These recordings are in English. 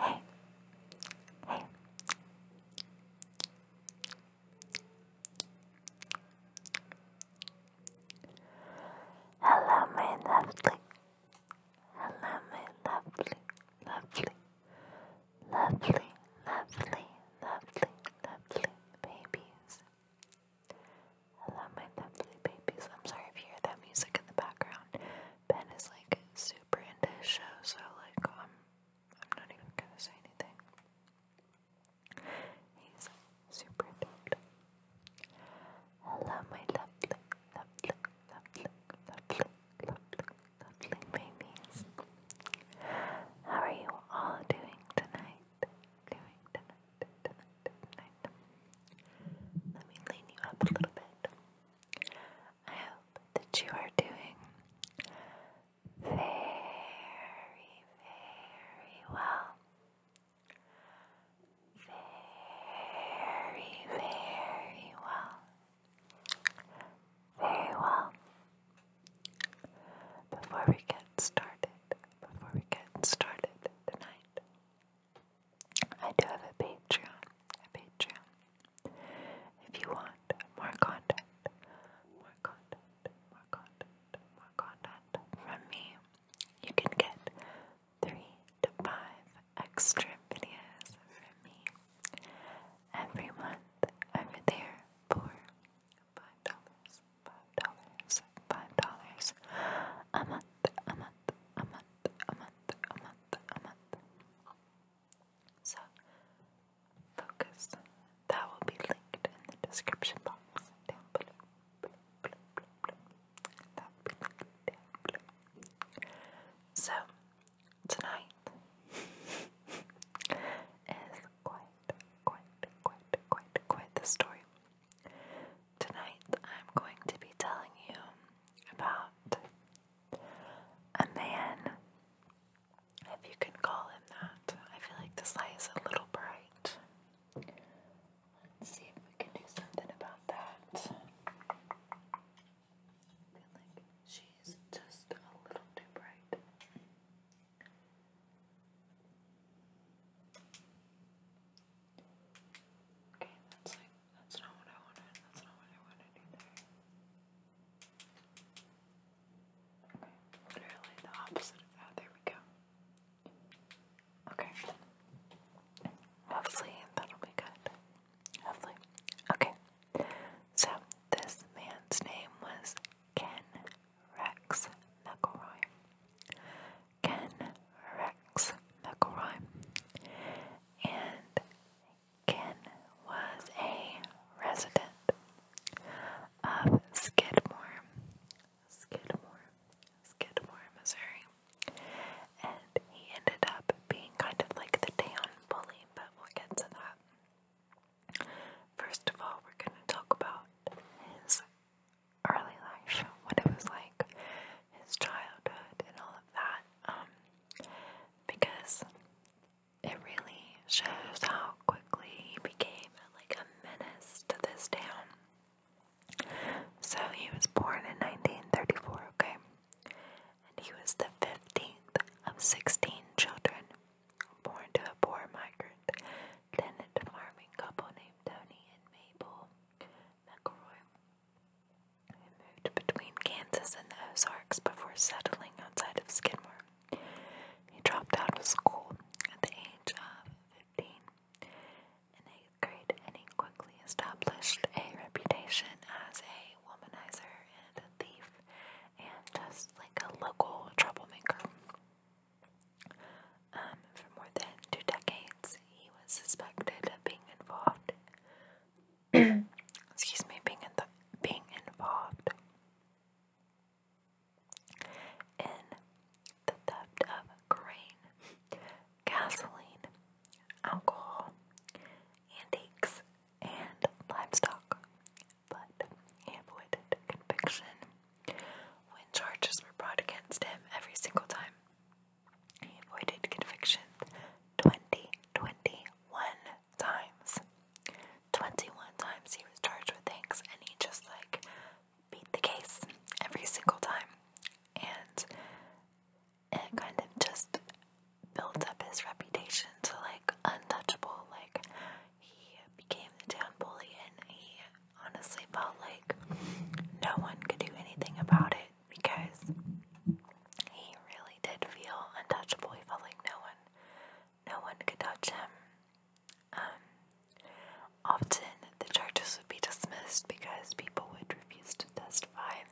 Hey. Hey. Hello, my lovely. Hello, my lovely, lovely, lovely, lovely, lovely, lovely babies. Hello, my lovely babies. I'm sorry if you hear that music in the background. Ben is like super into his show, so like um, I'm not even gonna say anything. He's super into Hello my lovely, lovely, lovely, lovely, lovely, lovely babies. How are you all doing tonight? Doing tonight, let me lean you up a little bit. I hope that you are doing very, very well. Very, very well. Very well. Before we get started, before we get started tonight, I do have a Patreon, a Patreon. If you want more content, more content, more content, more content from me, you can get three to five extra videos from me every month over there for five dollars, five dollars, five dollars a month, a month, a month, a month, a month, a month. So, focus. That will be linked in the description box down below. down below. So, tonight is quite, quite, quite, quite, quite the story. Tonight I'm going to be telling you about a man, if you can call him that. I feel like this light is a little bright. Let's see if we can do something about that. I feel like she's just a little too bright. Okay, that's like, that's not what I wanted. That's not what I wanted either. Okay, literally the opposite of that. There we go. Okay. Hopefully that'll be good. Hopefully. Okay. So this man's name was Ken Rex McElroy. Ken Rex McElroy. And Ken was a resident of Skidmore, Skidmore, Skidmore, Missouri. And he ended up being kind of like the town bully, but we'll get to that. First of all, we're going to talk about his early life, what it was like, his childhood, and all of that, um, because it really shows how quickly he became like a menace to this town. So he was born in 1934, okay? And he was the 15th of 16 children born to a poor migrant tenant farming couple named Tony and Mabel. McElroy, who moved between Kansas and the Ozarks before settling outside of Skidmore. He dropped out of school at the age of 15 in eighth grade, and he quickly established a reputation as a womanizer and a thief, and just like a local troublemaker. Um, for more than two decades, he was suspected of being involved. excuse me, being in being involved in the theft of grain, gasoline, alcohol, antiques, and livestock, but avoided conviction when charges were brought against him every single time, he avoided conviction 20, 21 times. 21 times he was charged with things, and he just like beat the case every single time. And it kind of just built up his reputation to like untouchable. Like, he became the town bully and he honestly felt like no one could do anything about it because he really did feel untouchable. He felt like no one, no one could touch him. Um, often the charges would be dismissed because people would refuse to testify.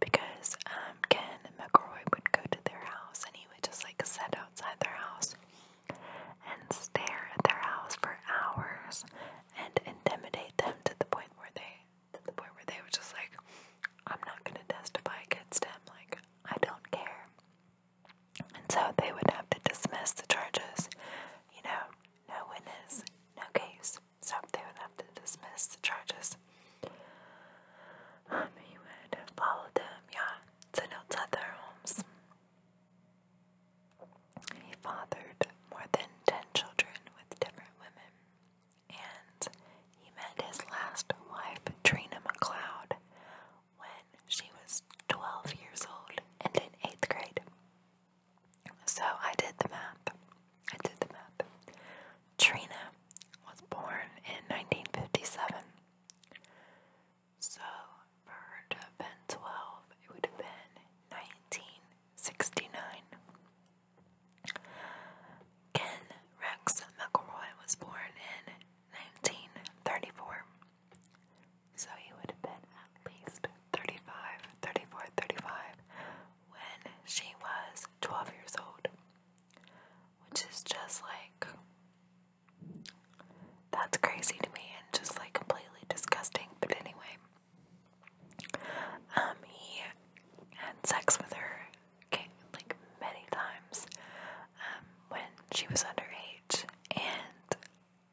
Because um, Ken McRoy would go to their house and he would just like sit outside their house and stare at their house for hours and intimidate them to the point where they to the point where they were just like, I'm not gonna testify against him, like I don't care. And so they would have to dismiss the charges, you know, no witness, no case. So they would have to dismiss the charges. Um, he would follow them, yeah, to outside their homes. He fathered more than 10 children with different women, and he met his last wife, Trina McLeod, when she was 12 years old and in 8th grade. So I did the math. I did the math. Trina was born in 1957. So for her 12, it would have been 1969. Ken Rex McElroy was born in 1934. So he would have been at least 35, 34, 35 when she was 12 years old. Which is just like that's crazy to me and just like completely disgusting. But anyway, um, he had sex with her like many times um, when she was underage and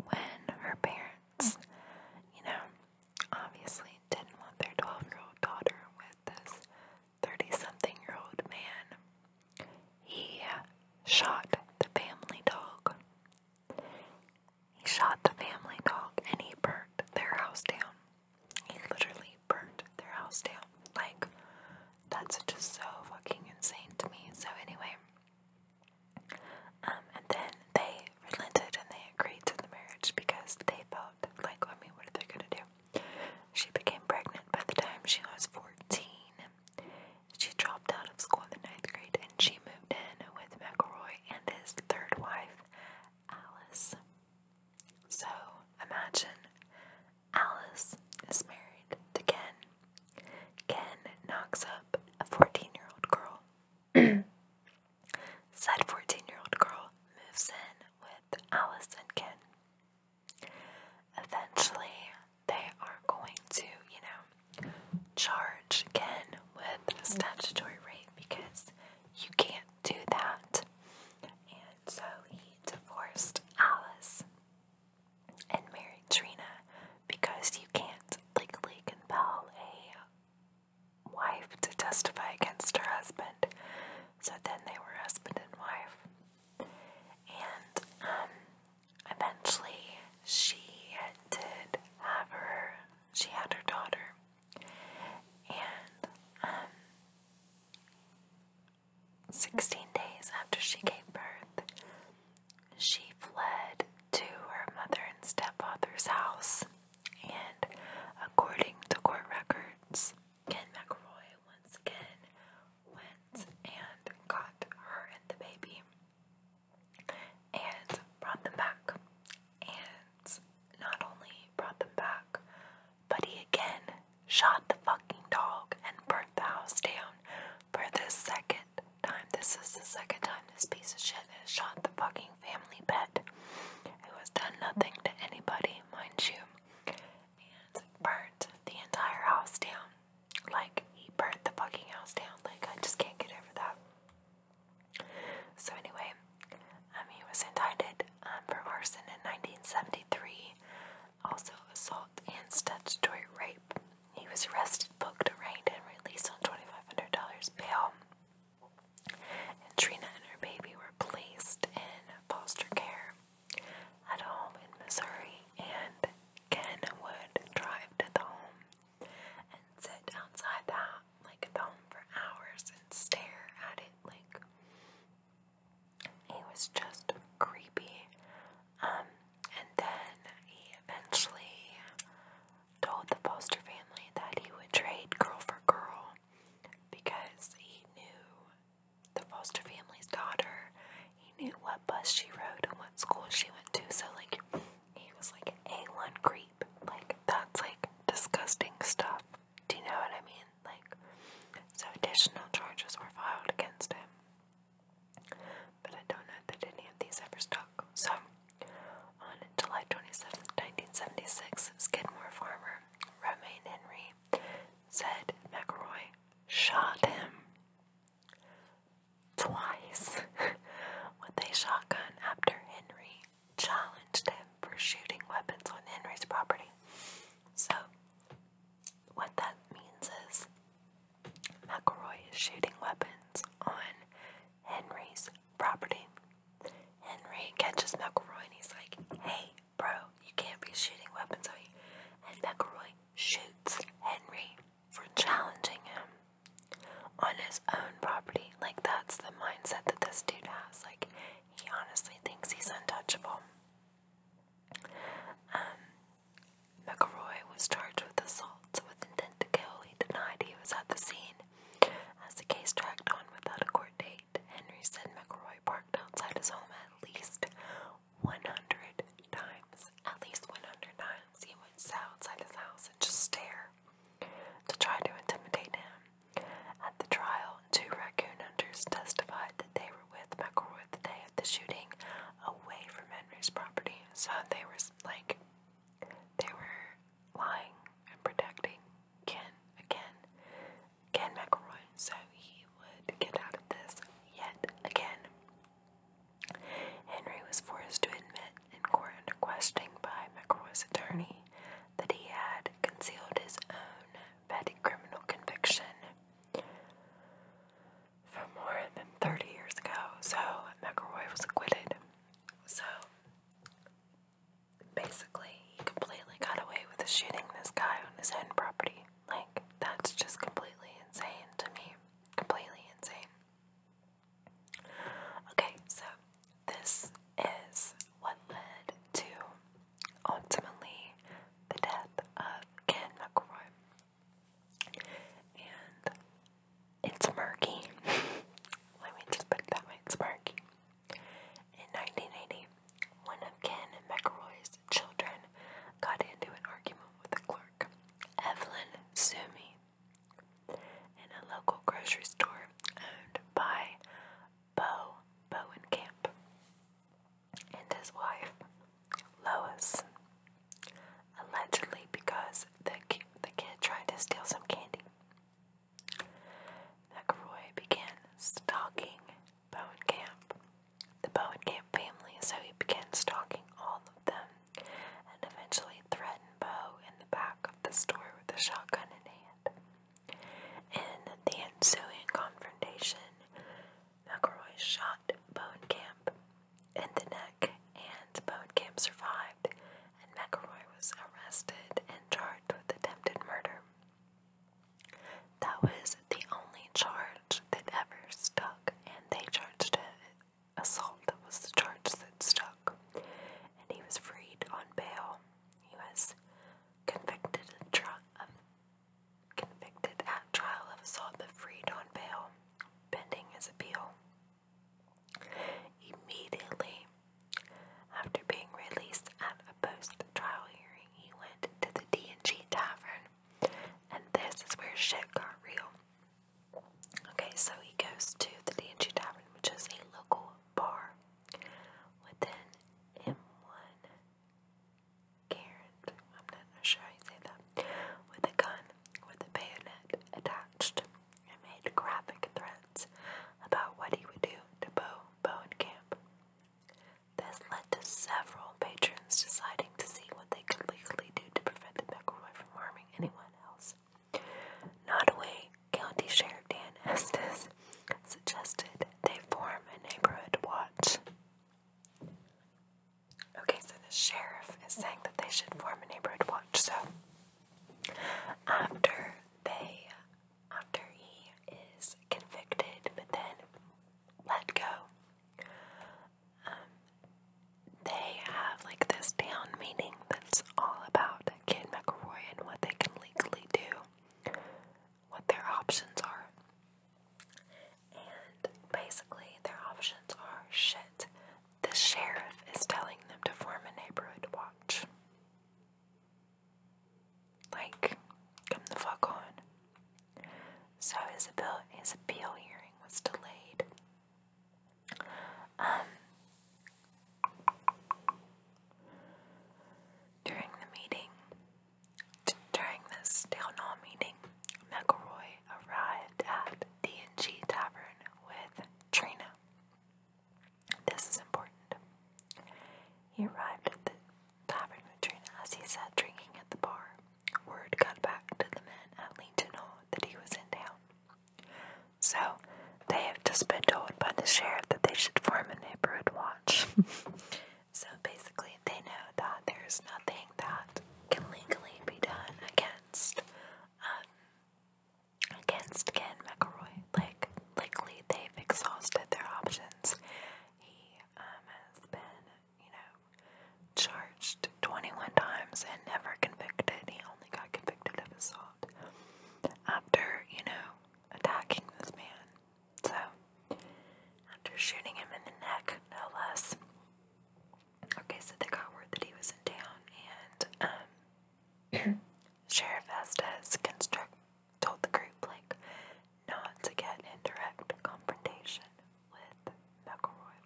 when her parents, you know, obviously didn't want their 12 year old daughter with this 30 something year old man. He shot the family dog. He shot the family dog and he burnt their house down. He literally burnt their house down. Like, that's just so fucking insane to me. So, anyway, um, and then they relented and they agreed to the marriage because they felt like, I mean, what are they gonna do? She became pregnant by the time she was 14. She dropped out of school in the ninth grade and she moved in with McElroy and his third wife, Alice. So imagine Alice is married to Ken. Ken knocks up a 14 year old girl. Said 14 year old girl moves in with Alice and Ken. Eventually, they are going to, you know, charge again with a statutory rape because you can't do that. And so he divorced Alice and married Trina because you can't legally compel a wife to testify against her husband. So then they were husband and wife. And um, eventually she did have her she had her daughter and um, 16 days after she gave birth she fled to her mother and stepfather's house and according to court records Ken McRoy once again went and got her and the baby and brought them back. And not only brought them back, but he again shot the fucking dog and burnt the house down for the second time. This is the second time this piece of shit has shot the fucking family pet. Who has done nothing to anybody, mind you. And burnt the entire house down. Like, he burnt the fucking house down. Like, I just can't get over that. So, anyway, um, he was indicted um, for arson in 1973, also assault and statutory rape. He was arrested, booked, arraigned, and released on $2,500 bail. And Trina and her baby were placed in foster care at home in Missouri, and Ken would drive to the home and sit outside the like the home for hours and stare at it like it was just creepy. Um, and then he eventually told the Foster family that he would trade girl for girl because he knew the foster family's daughter. He knew what bus she rode and what school she went to. So, like, he was like A1 creep. Like, that's like disgusting stuff. Do you know what I mean? Like, so additional charges were filed against him. But I don't know that any of these ever stuck. So, on July twenty seventh, 1976, Skidmore farmer Romaine Henry said McRoy shot him twice with a shotgun after Henry challenged him for shooting weapons on Henry's property. So, what that means is McElroy is shooting weapons on Henry's property. Henry catches McElroy and he's like, hey, bro, you can't be shooting weapons on me. And McElroy shoots Henry for challenging him on his own property. Like, that's the mindset that this dude has. Like, he honestly thinks he's untouchable. Um, McElroy was charged with assault with intent to kill. He denied he was at the scene. As the case tracked on without a court date, Henry said McElroy parked outside his home at least 100 times, at least 100 times, he would sit outside his house and just stare to try to intimidate him. At the trial, two raccoon hunters testified that they were with McElroy the day of the shooting, away from Henry's property, so they were like, they were lying and protecting Ken again Ken McElroy, so he would get out of this yet again. Henry was forced to admit in court under questioning by McElroy's attorney that he had concealed his own petty criminal conviction from more than 30 years ago, so McElroy was acquitted. So basically, he completely got away with shooting this guy on his own property. Like, that's just completely insane to me. Completely insane. Okay, so this is what led to ultimately the death of Ken McElroy. And it's murky. Let me just put it that way, it's murky. In 1980, one of Ken McElroy's children got into an argument with a clerk, Evelyn Sumi, in a local grocery store owned by Bo Bowen Bowenkamp and his wife, Lois, allegedly because the, the kid tried to steal some candy. McElroy began stalking Bowen Camp. The Bowen family, so he begins stalking all of them and eventually threatened Bo in the back of the store with a shotgun in hand. In the ensuing confrontation, McElroy shot Bone Camp in the neck, and Bone Camp survived, and McElroy was arrested and charged with attempted murder. That was the only charge that ever stuck, and they charged it. Assault that was the charge that stuck. And he was freed on bail. He was convicted at, convicted at trial of assault but freed on bail, pending his appeal. Immediately after being released at a post trial hearing, he went to the D&G Tavern, and this is where shit got real. Okay, so he goes to the D&G Tavern, which is a local bar with an M1 Garand, I'm not sure I you say that, with a gun with a bayonet attached and made graphic threats about what he would do to Bo, Bo and Camp. This led to several patrons deciding to see what they could legally do to prevent the McElroy from harming anyone else. Nottoway County Sheriff Dan Estes suggested they form a neighborhood watch. Okay, so the sheriff is saying that they should form a neighborhood watch. So after they after he is convicted but then let go. Um, they have like this town meeting that's all about Kid McElroy and what they can legally do, what their options are. And basically, their options are shit. The sheriff is telling them to form a neighborhood watch. Like, come the fuck on. So his appeal, hearing was delayed. Um, during the meeting, during this town hall meeting, McElroy arrived at D&G Tavern with Trina. This is important. He arrived at the tavern latrine as he sat drinking at the bar. Word got back to the men at Leeton that he was in town. So, they have just been told by the sheriff that they should form a neighborhood watch. so basically, they know that there's nothing that can legally be done against, um, against Ken McElroy. Like, likely they've exhausted their options he um, has been, you know, charged 21 times and never convicted. He only got convicted of assault after, you know, attacking this man. So, after shooting him in the neck, no less. Okay, so they got word that he was in and um, Sheriff Estes construct told the group like not to get in direct confrontation with McElroy,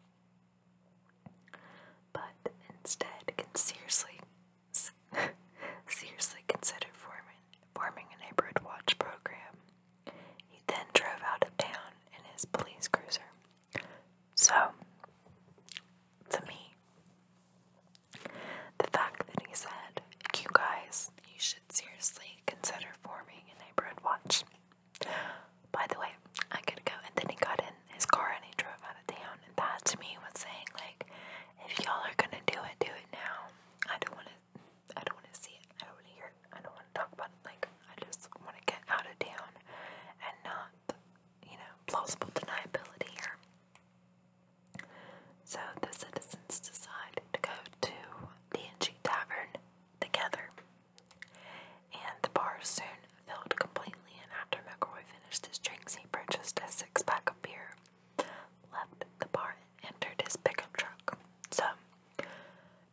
but instead can seriously, seriously consider forming forming a neighborhood watch program. He then drove out of town in his police cruiser. So, to me, the fact that he said, You guys, you should seriously consider forming a neighborhood watch. By the way, I could go. And then he got in his car and he drove out of town. And that to me was saying, like, if y'all are gonna do it, do it now. I don't wanna I don't wanna see it. I don't wanna hear it. I don't wanna talk about it. Like I just wanna get out of town and not you know, plausible deniability here. So the citizens decide to go to the Inchy Tavern together. And the bar soon filled completely, and after McRoy finished his drinks, he purchased a six pack of beer, left the bar, and entered his pickup truck. So,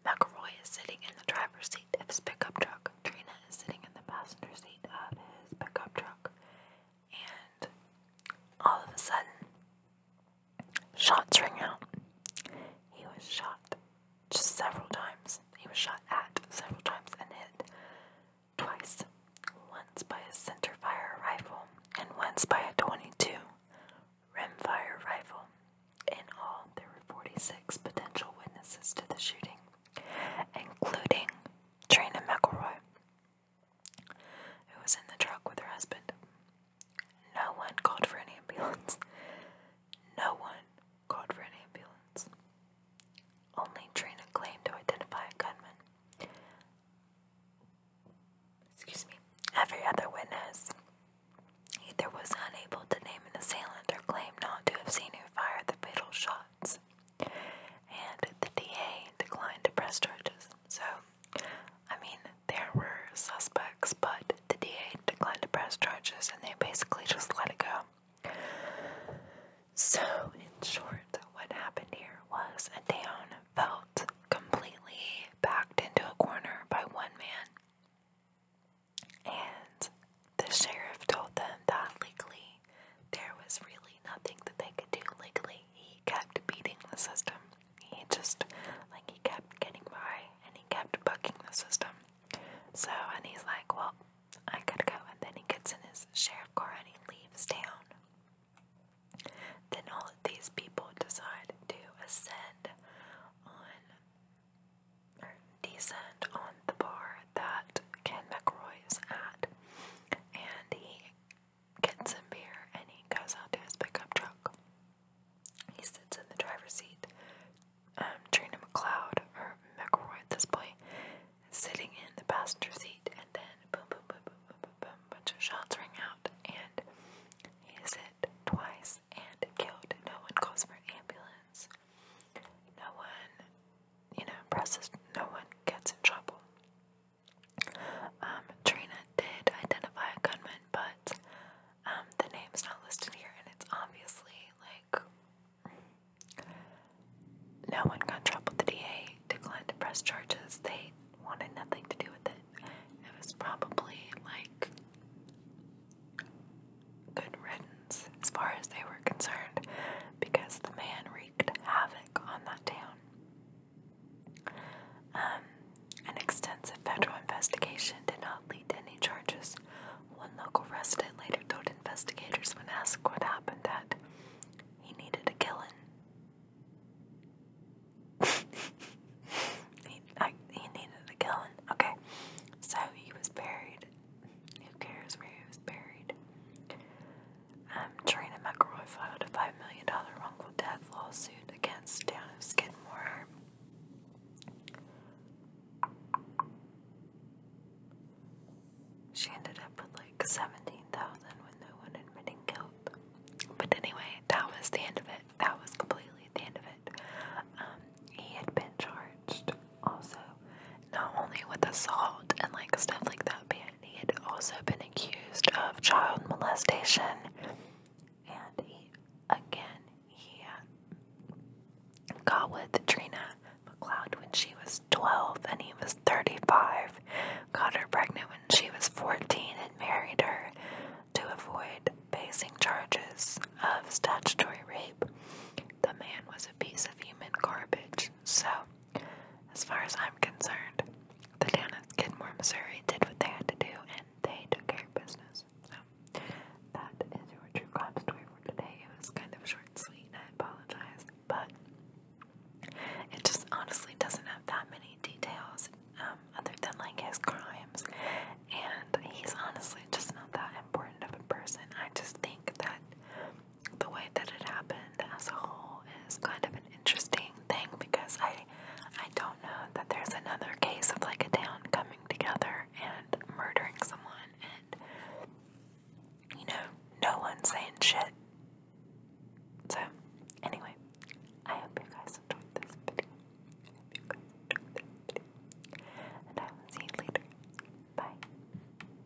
McRoy is sitting in the driver's seat of his pickup truck. Trina is sitting in the passenger seat of his pickup truck and all of a sudden, shots ring out. He was shot just several times. He was shot at several times and hit twice. Once by a center fire rifle and once by a 22 rimfire rifle. In all, there were 46 potential witnesses to the shooting, including Trina McElroy, who was in the truck with her husband. No one called for any ambulance. No one called for an ambulance. Only Trina claimed to identify a gunman. Excuse me. Every other witness either was unable to name an assailant or claimed not to have seen who fire the fatal shots. And the DA declined to press charges. So, I mean, there were suspects, but the DA declined to press charges and they basically just let it go. So, in short, what happened here was a town felt completely backed into a corner by one man. And the sheriff told them that legally family. There was really nothing that they could do legally. He kept beating the system. He just, like, he kept getting by and he kept bucking the system. So, and he's like, well, I gotta go. And then he gets in his sheriff car and he leaves town. Then all of these people decide to ascend on, or descend on the bar that Ken McRoy is at. And he gets some beer, and he goes out to his pickup truck. He sits in the driver's seat. Um, Trina McLeod, or McElroy at this point, sitting in the passenger seat, and then boom, boom, boom, boom, boom, boom, bunch of shots ring out, and he is hit twice and killed. No one calls for ambulance. No one, you know, presses. No one gets in trouble. Um, Trina did identify a gunman, but um, the name's not listed here, and it's obviously like no one got trouble. The DA declined to press charges. They wanted nothing to do with it. It was probably like good riddance as far as they were concerned because the man wreaked havoc on that town. Um, an extensive federal investigation did not lead to any charges. One local resident later told investigators when asked what happened that he needed a killing. he needed a killing. Okay. So he was buried. Who cares where he was buried? Um, Trina McElroy filed a $5 million wrongful death lawsuit against Town of Skidmore. She ended up with like 17,000 with no one admitting guilt. But anyway, that was the end of it. That was completely the end of it. Um, he had been charged also not only with assault and like stuff like that, but he had also been accused of child molestation, and he again he uh, got with Trina McLeod when she was 12, and he was 35. Got her pregnant when she was 14 and married her to avoid facing charges of statutory rape. The man was a piece of human garbage, so as far as I'm concerned, the town at Skidmore, Missouri did what they had to do and they took care of business. So, that is your true crime story for today. It was kind of short and sweet, and I apologize, but it just honestly doesn't have that many details um, other than like his crimes. And he's honestly just not that important of a person. I just think that the way that it happened as a whole is kind of an interesting thing because I I don't know that there's another case of like a town coming together and murdering someone and you know, no one's saying shit. So anyway, I hope you guys enjoyed this video. I hope you guys enjoyed this video. And I will see you later. Bye.